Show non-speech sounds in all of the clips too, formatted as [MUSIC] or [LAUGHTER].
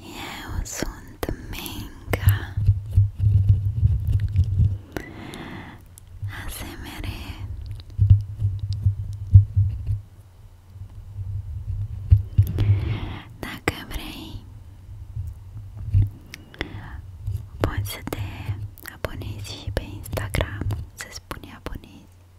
Eu sunt Menga ASMR Dacă vrei Poți să te abonezi și pe Instagram Se spune abonezi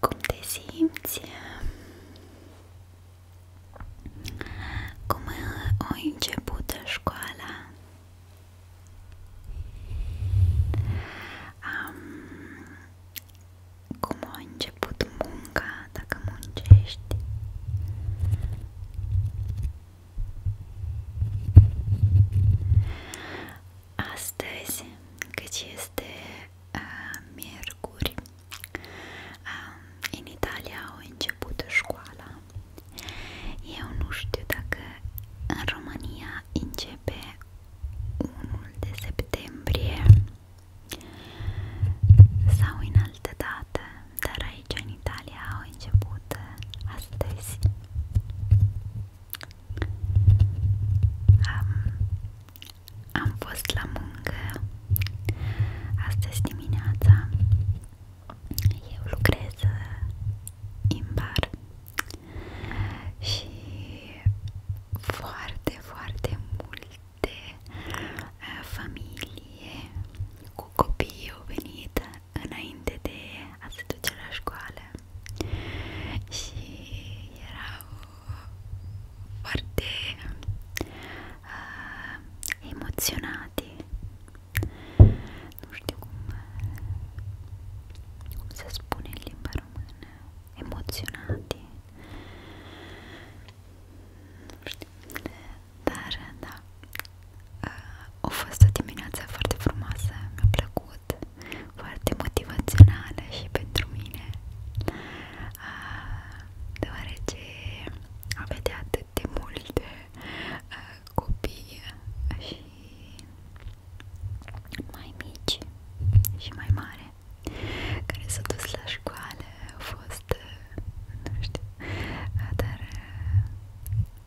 Cum te simți? Cum a început școala? Um, cum a început munca, dacă muncești? Astăzi, cât este uh, miercuri, uh, în Italia au început școala. Eu nu știu dacă în România începe 1 de septembrie sau în altă dată, dar aici în Italia au început astăzi um, Am fost la muncă astăzi dimineața Eu lucrez uh, în bar și foarte, foarte multe uh, familie cu copii au venit uh, înainte de a se duce la școală și erau foarte uh, emoționate nu știu cum, cum se spune în limba română emoționate nu știu dar da, Uh, au fost o dimineață foarte frumoasă, mi-a plăcut, foarte motivațională și pentru mine uh, deoarece am vedea atât de multe uh, copii și mai mici și mai mare care s-au dus la școală, au fost, nu știu, dar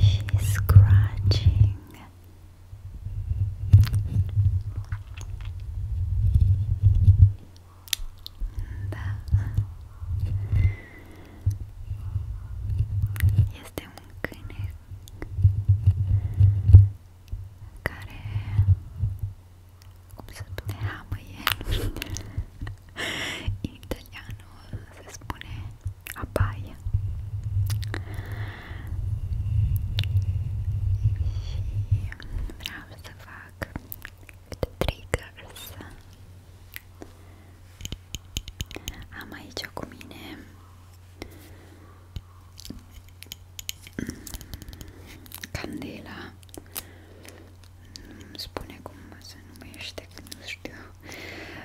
She's scratching. Da. Este un câine care cum se spune hamăie în [LAUGHS] italianul se spune a baia. Și vreau să fac câte triggers. Am aici cu mine candela. Nu spune cum se numește, că nu știu.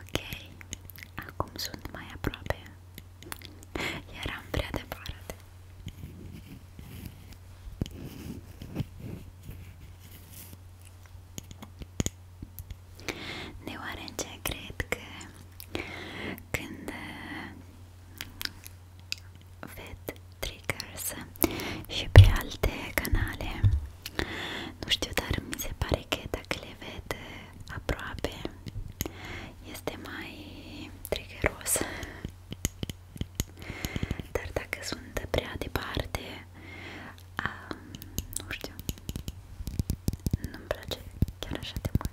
Ok, acum sunt mai aproape. Eram prea departe. Deoarece cred că când uh, ved triggers și pe alte canale nu știu, dar mi se pare că dacă le vede aproape este mai triggeros. Dar dacă sunt prea departe, a, nu știu, nu-mi place chiar așa de mult.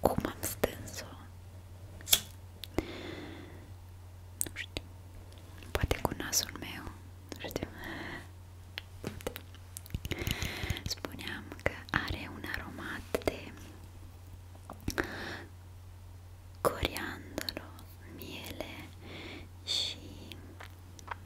Cum am stâns-o? Nu știu. Poate cu nasul meu. Nu știu. Poate. Spuneam că are un aromat de coriandolo, miele și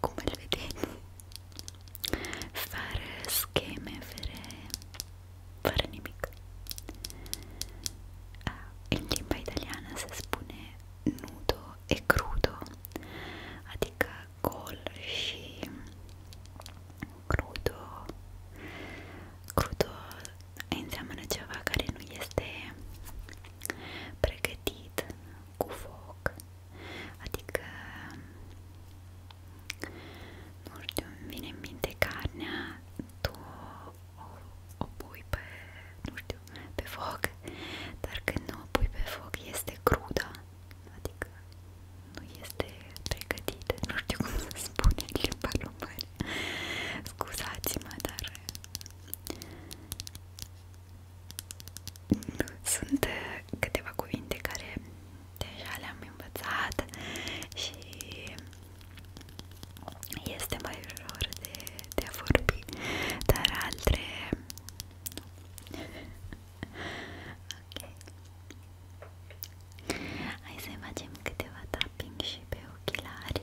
come le vedete fare scheme fare, fare nemico ah, in lingua italiana si espone nudo e crudo adica colci crudo crudo entriamo nella giava che non gli este pregatit cu foc, adică, nu știu, îmi vine în minte carnea, tu o, o pui pe, nu știu, pe foc, dar când nu o pui pe foc este crudă, adică nu este pregătită, nu știu cum să spun în limba română, scuzați-mă, dar sunt uh, câteva cuvinte care deja le-am învățat și este mai ușor de, de a vorbi, dar altele Ok. Hai să facem câteva tapping și pe ochelari.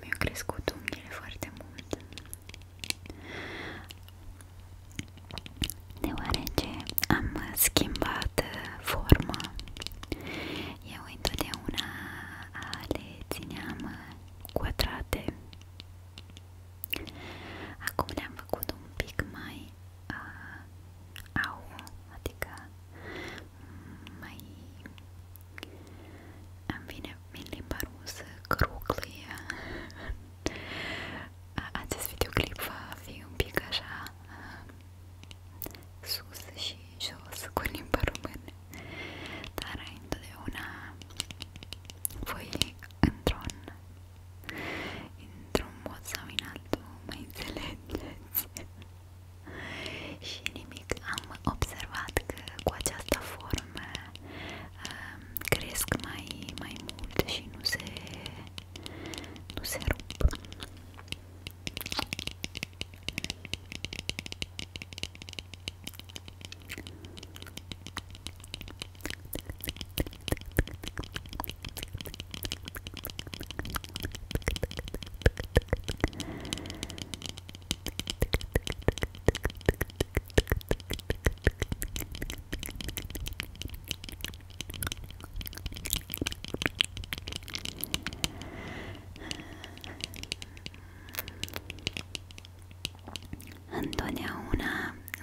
Mi-au crescut unghiile foarte mult deoarece am schimbat forma eu întotdeauna le țineam quadrate acum le-am făcut un pic mai uh, au, adică mai îmi vine în limba rusă cruclie acest videoclip va fi un pic așa uh, sus și jos cu limba română dar întotdeauna voi într-un într-un mod sau în altul mă înțelegeți și nimic, am observat că cu această formă um, cresc mai, mai mult și nu se, nu se rup. Întotdeauna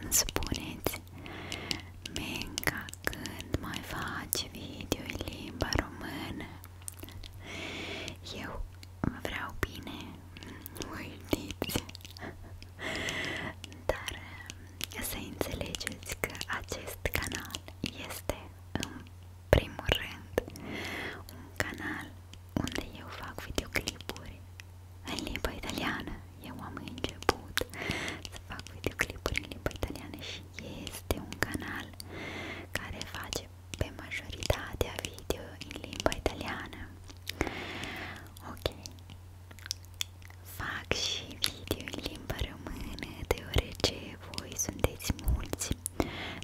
îmi spuneți Menca când mai faci video în limba română eu vreau bine, mă iubiți, dar um, să înțelegeți că acest canal este în primul rând un canal unde eu fac videoclipuri în limba italiană. Eu am început să fac videoclipuri în limba italiană și este un canal care face pe majoritatea în limba italiană. Ok. Fac și video în limba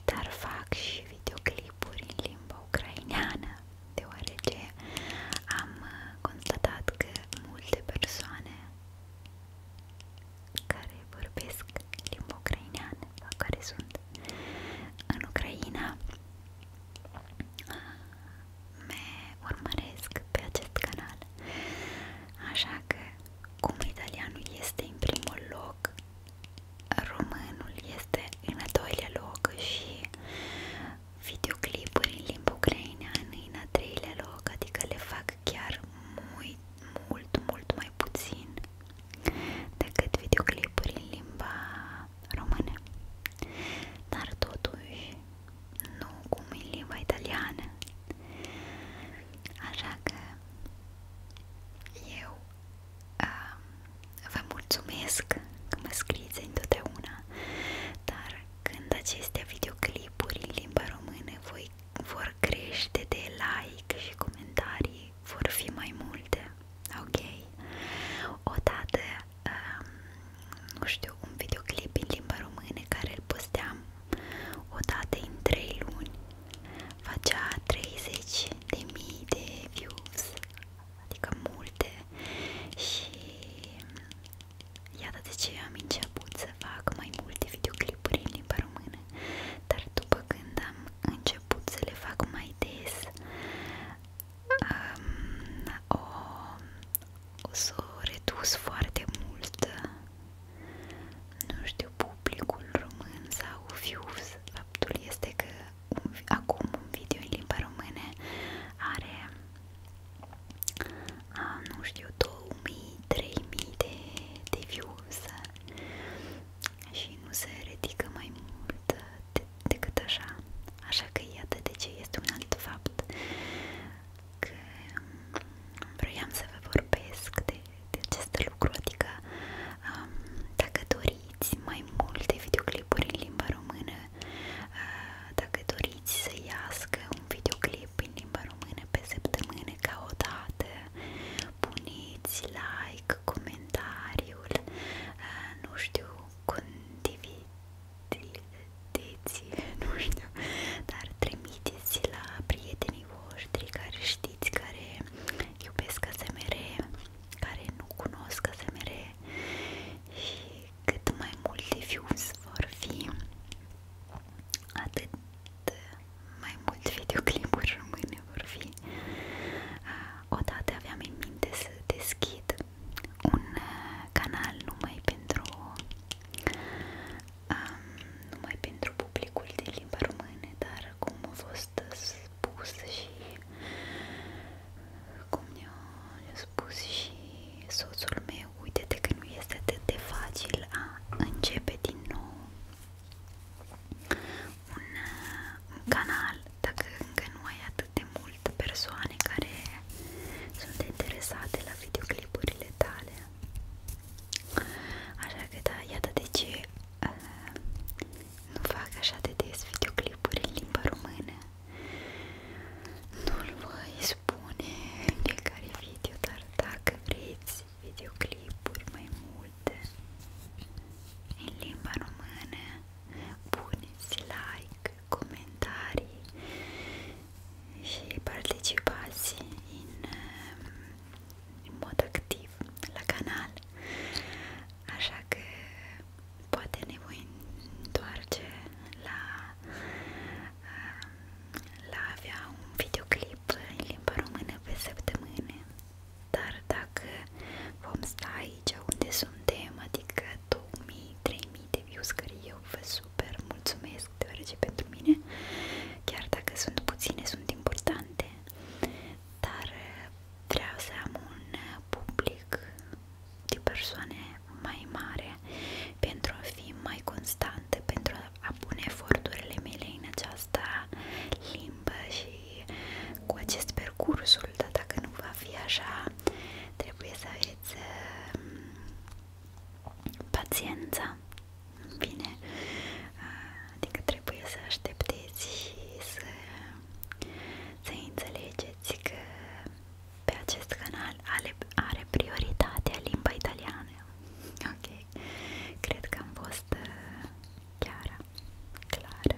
dar fac videoclipuri în limba ucraineană, deoarece am uh, constatat că multe persoane care vorbesc limba ucraineană care sunt în Ucraina me urmăresc pe acest canal așa că cum italianul este în primul loc românul este în al doilea loc și videoclipuri în limba ucraineană în al treilea loc adică le fac chiar mult, mult, mult mai mai puțin decât videoclipuri în limba română, dar totuși nu cum în limba italiană. Așa că eu uh, vă mulțumesc că mă scrieți întotdeauna, dar când aceste videoclipuri în limba română voi vor crește de like și comentarii, vor fi mai multe, ok? Odată, um, nu știu, un videoclip în limba română care îl posteam odată în 3 luni facea 30 de mii de views, adică multe și iată de ce am început să fac mai multe videoclipuri în limba română dar după când am început să le fac mai des, o, o să redus foarte mult. Nu știu, publicul român sau views, faptul este că acum un video în are, nu știu, 2000-3000 de, de views și nu se ridică mai mult de decât așa. Așa că iată de ce este un alt fapt că um, vroiam să vă vorbesc de, de acest lucru, adică um, dacă doriți mai multe videoclipuri în limba română, uh, dacă doriți să iască un videoclip în limba română pe săptămână ca o dată puneți like, comentariul, eh, nu știu, condivideți, nu știu, dar trimiteți la prietenii voștri care știți, care iubesc ASMR, care nu cunosc ASMR și cât mai multe views vor fi, atât mai mult videoclipuri rămâne vor fi. Ah, odată aveam în minte să deschid un ah, canal numai pentru um, numai pentru publicul de limba română, dar cum a fost spus și cum ne-a spus și soțul meu, uite-te că nu este atât de facil a începe din nou un, uh, un canal dacă încă nu ai atât de multe persoane care sunt interesate la videoclipurile tale Așa că da, iată de ce uh, nu fac așa de des videoclipuri în limba română nu-l voi spune în fiecare video, dar dacă vreți videoclipuri mai multe în limba română puneți like, comentarii și participați în, uh, în mod activ la canal așa că poate ne voi întoarce la uh, la un videoclip în limba română pe săptămâne dar dacă vom sta aici unde suntem, adică 2000-3000 de views care eu vă super mulțumesc deoarece chiar dacă sunt puține, sunt importante dar uh, vreau un uh, public de persoane mai mare pentru a fi mai constantă, pentru a apun eforturile mele în această limbă și cu acest percursul, dar dacă nu va fi așa, trebuie să aveți um, paciență. Bine, adică trebuie să aștepteți și să, să înțelegeți că pe acest canal are, are prioritatea limba italiană. Ok voi. Cred că am fost uh, chiar clare.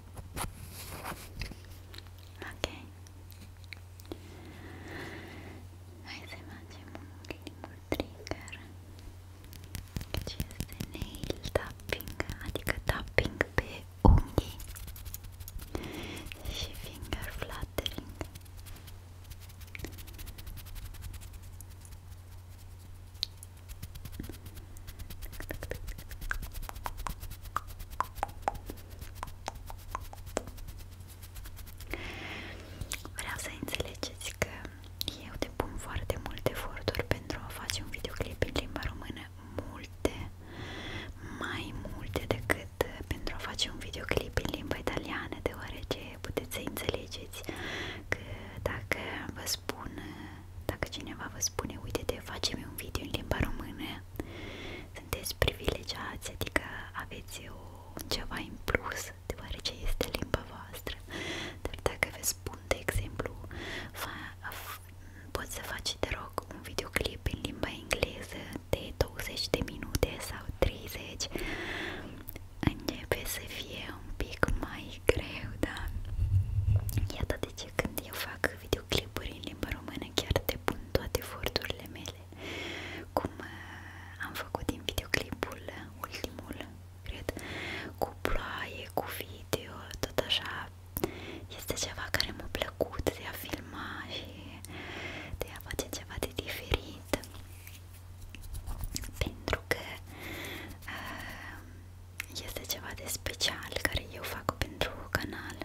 Ok. Hai să facem un primul trigger ce deci este nail tapping, adică tapping pe unghii și finger fluttering. Vreau să înțelegeți că eu depun foarte multe eforturi pentru a face un videoclip în limba română, multe, mai multe decât pentru a face un videoclip în limba italiană, deoarece puteți să înțelegeți că dacă vă spun dacă cineva vă spune, uite-te, facem un video în limba română, sunteți privilegiați, adică aveți o, ceva în plus, deoarece este limba voastră. Dar dacă vă spun, exemplu, poți să te rog, un videoclip în limba engleză de 20 de minute sau 30, începe să fie un pic mai greu, da? Iată de ce când eu fac videoclipuri în limba română, chiar depun toate eforturile mele. Cum uh, am făcut din videoclipul ultimul, cred, cu ploaie, cu video, tot așa. Este ceva care m-a plăcut de a filma și de a face ceva de diferit pentru că uh, este ceva de special care eu fac pentru canal.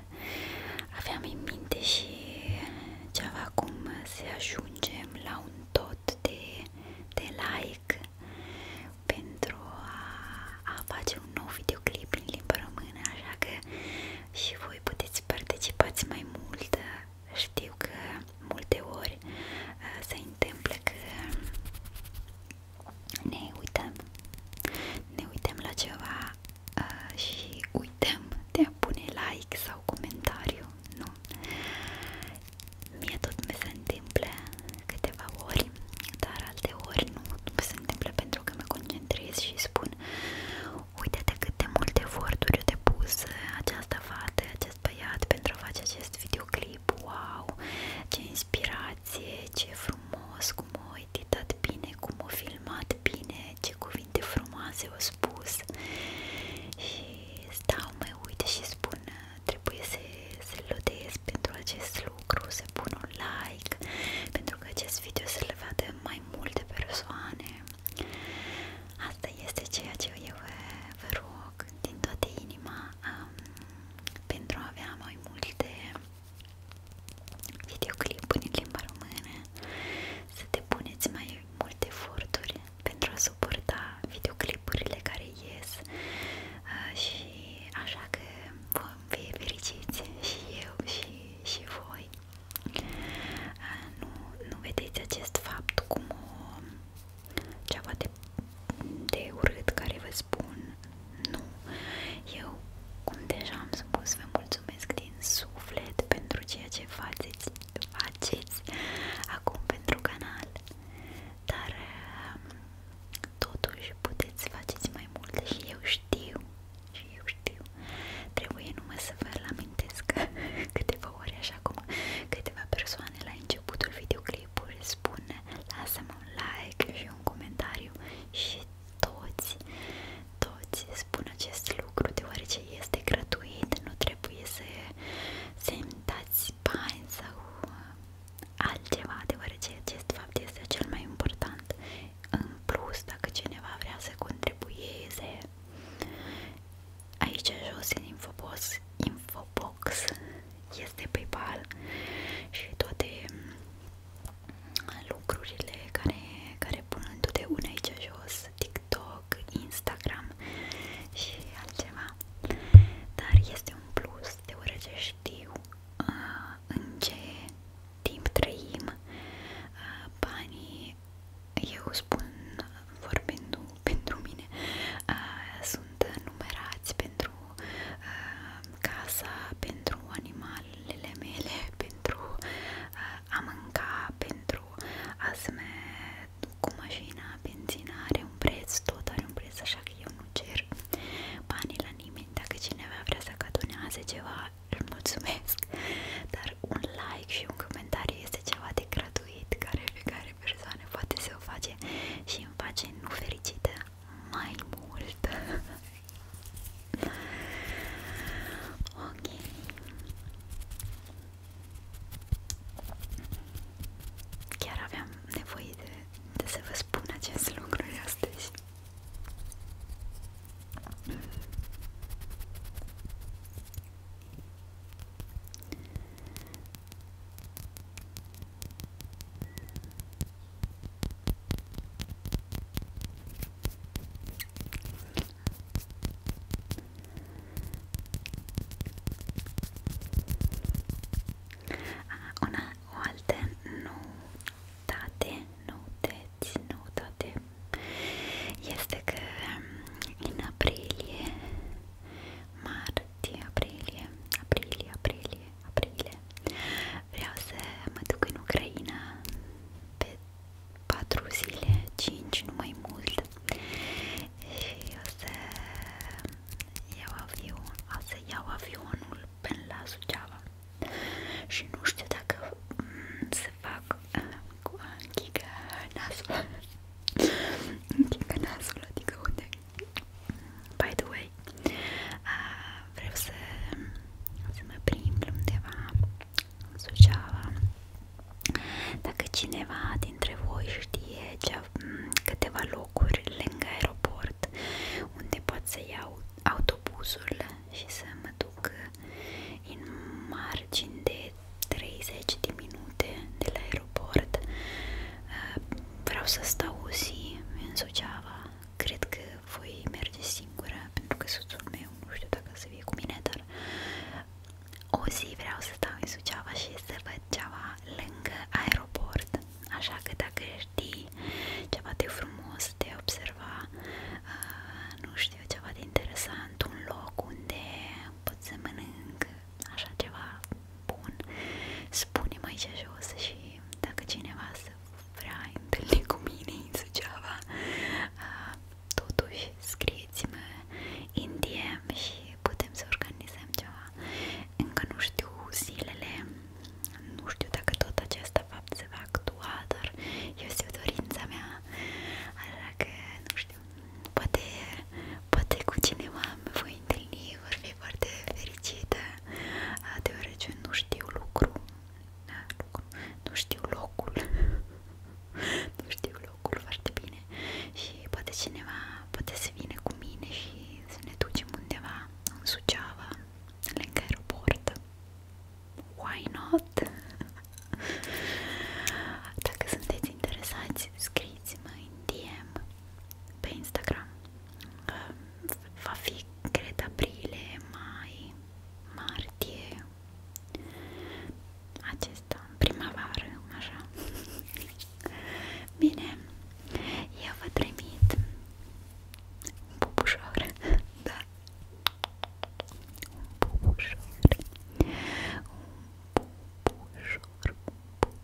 Aveam în minte și ceva cum să ajungem la un tot de, de like pentru a, a face un nou videoclip în limba română, așa că și voi puteți participați mai mult. Știu că multe ori uh, se întâmplă că ne uităm, ne uităm la ceva uh, și uităm de a pune like sau comentariu, nu? Mie tot mi se întâmplă câteva ori, dar alte ori nu, mi se întâmplă pentru că mă concentrez și spun Uite-te cât multe eforturi eu depus uh, această fată, acest băiat pentru a face acest videoclip, wow, ce inspirare locație, ce frumos, cum o editat bine, cum o filmat bine, ce cuvinte frumoase au spus și stau, mă uit și spun trebuie să, să-l lodez pentru acest lucru, să pun un like pentru că acest video să-l vadă mai multe persoane asta este ceea ce eu vă rog din toată inima um, pentru a avea mai multe videoclipuri în limba română, să depuneți mai multe eforturi pentru a suporta videoclipurile care ies uh, și așa că vom fi fericiți și eu și, și voi. Uh, nu, nu vedeți acest fapt cum o, ceva de de urât care vă spun nu. Eu, cum deja am spus, vă mulțumesc din suflet pentru ceea ce faceți, faceți acum pentru canal, dar um, totuși puteți faceți mai multe și eu știu, și eu știu, trebuie numai să vă amintesc [LAUGHS] câteva ori așa cum câteva persoane la începutul videoclipului clipul, spune lasă-mi un like și un comentariu și toți, toți spun acest lucru deoarece este gratuit, nu trebuie să semnați bani sau uh, altceva, deoarece acest fapt este cel mai important. În plus, dacă cineva vrea să contribuieze, aici jos în infobox, infobox Box, este PayPal și toate mm, lucrurile care, care pun întotdeauna aici jos, TikTok, Instagram și altceva. Dar este un plus, deoarece știu uh, în ce timp trăim uh, banii, eu spun vorbind pentru mine, uh, sunt numerați pentru uh, casa pentru animalele mele, pentru uh, a mânca, pentru asme cu mașina, benzina are un preț, tot are un preț, așa că eu nu cer banii la nimeni. Dacă cineva vrea să cadonează ceva, îl mulțumesc, dar un like și un comentariu este ceva de gratuit care fiecare persoană poate să o face și îmi face nu fericită mai mult ok chiar aveam nevoie de, de să vă spun acest lucru astăzi una, o altă noutate, noutăți, noutate este că um, în aprilie, martie, aprilie, aprilie, aprilie aprilie vreau să mă duc în Ucraina pe 4 zile, 5, nu mai mult și o să iau avion, o să iau avionul până la Suceava și nu știu dacă mm, se fac uh, cu închigă nasul [LAUGHS] închigă nasul, adică unde By the way, uh, vreau să, să mă prind undeva în Suceava. Dacă cineva dintre voi știe cea, câteva locuri lângă aeroport unde pot să iau autobuzul și să mă duc în margini de 30 de minute de la aeroport vreau să stau o zi în Suceava. Cred că voi merge singură, pentru că soțul meu, nu știu dacă să fie cu mine, dar o zi vreau să stau în Suceava și să văd ceva lângă aeroport. Așa că dacă știi ceva de frumos de observa, uh, nu știu, ceva de interesant, un loc unde pot să mănânc, așa ceva, bun. Spune-mi aici jos și dacă cineva se vrea întâlni cu mine în Suceava, uh, totuși scrieți-mă în DM și putem să organizăm ceva. Încă nu știu zilele, nu știu dacă tot acesta fapt se va actua, dar este o dorință mea, așa că nu știu, poate, poate cu cineva mă voi voi întâlni, vor fi foarte fericite deoarece nu știu lucru da, nu știu locul [LAUGHS] nu știu locul foarte bine și poate cineva poate să vină cu mine și să ne ducem undeva în Suceava, lângă aeroport why not? [LAUGHS] Dacă sunteți interesați, scrieți-mă în DM pe Instagram. Va fi, cred, aprilie, mai, martie, acesta, primăvară, așa. Bine, eu vă trimit da. un pupușor, da, un pupușor, un pupușor, un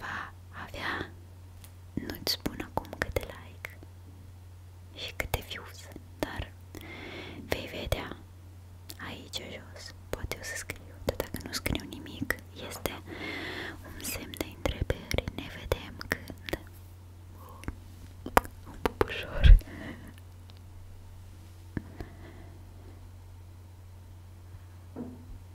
va avea, nu-ți spun acum câte like și câte views, dar vei vedea aici jos, poate o să scriu, dar dacă nu scriu nimic, este un semn de întrebări, ne vedem când un bubușor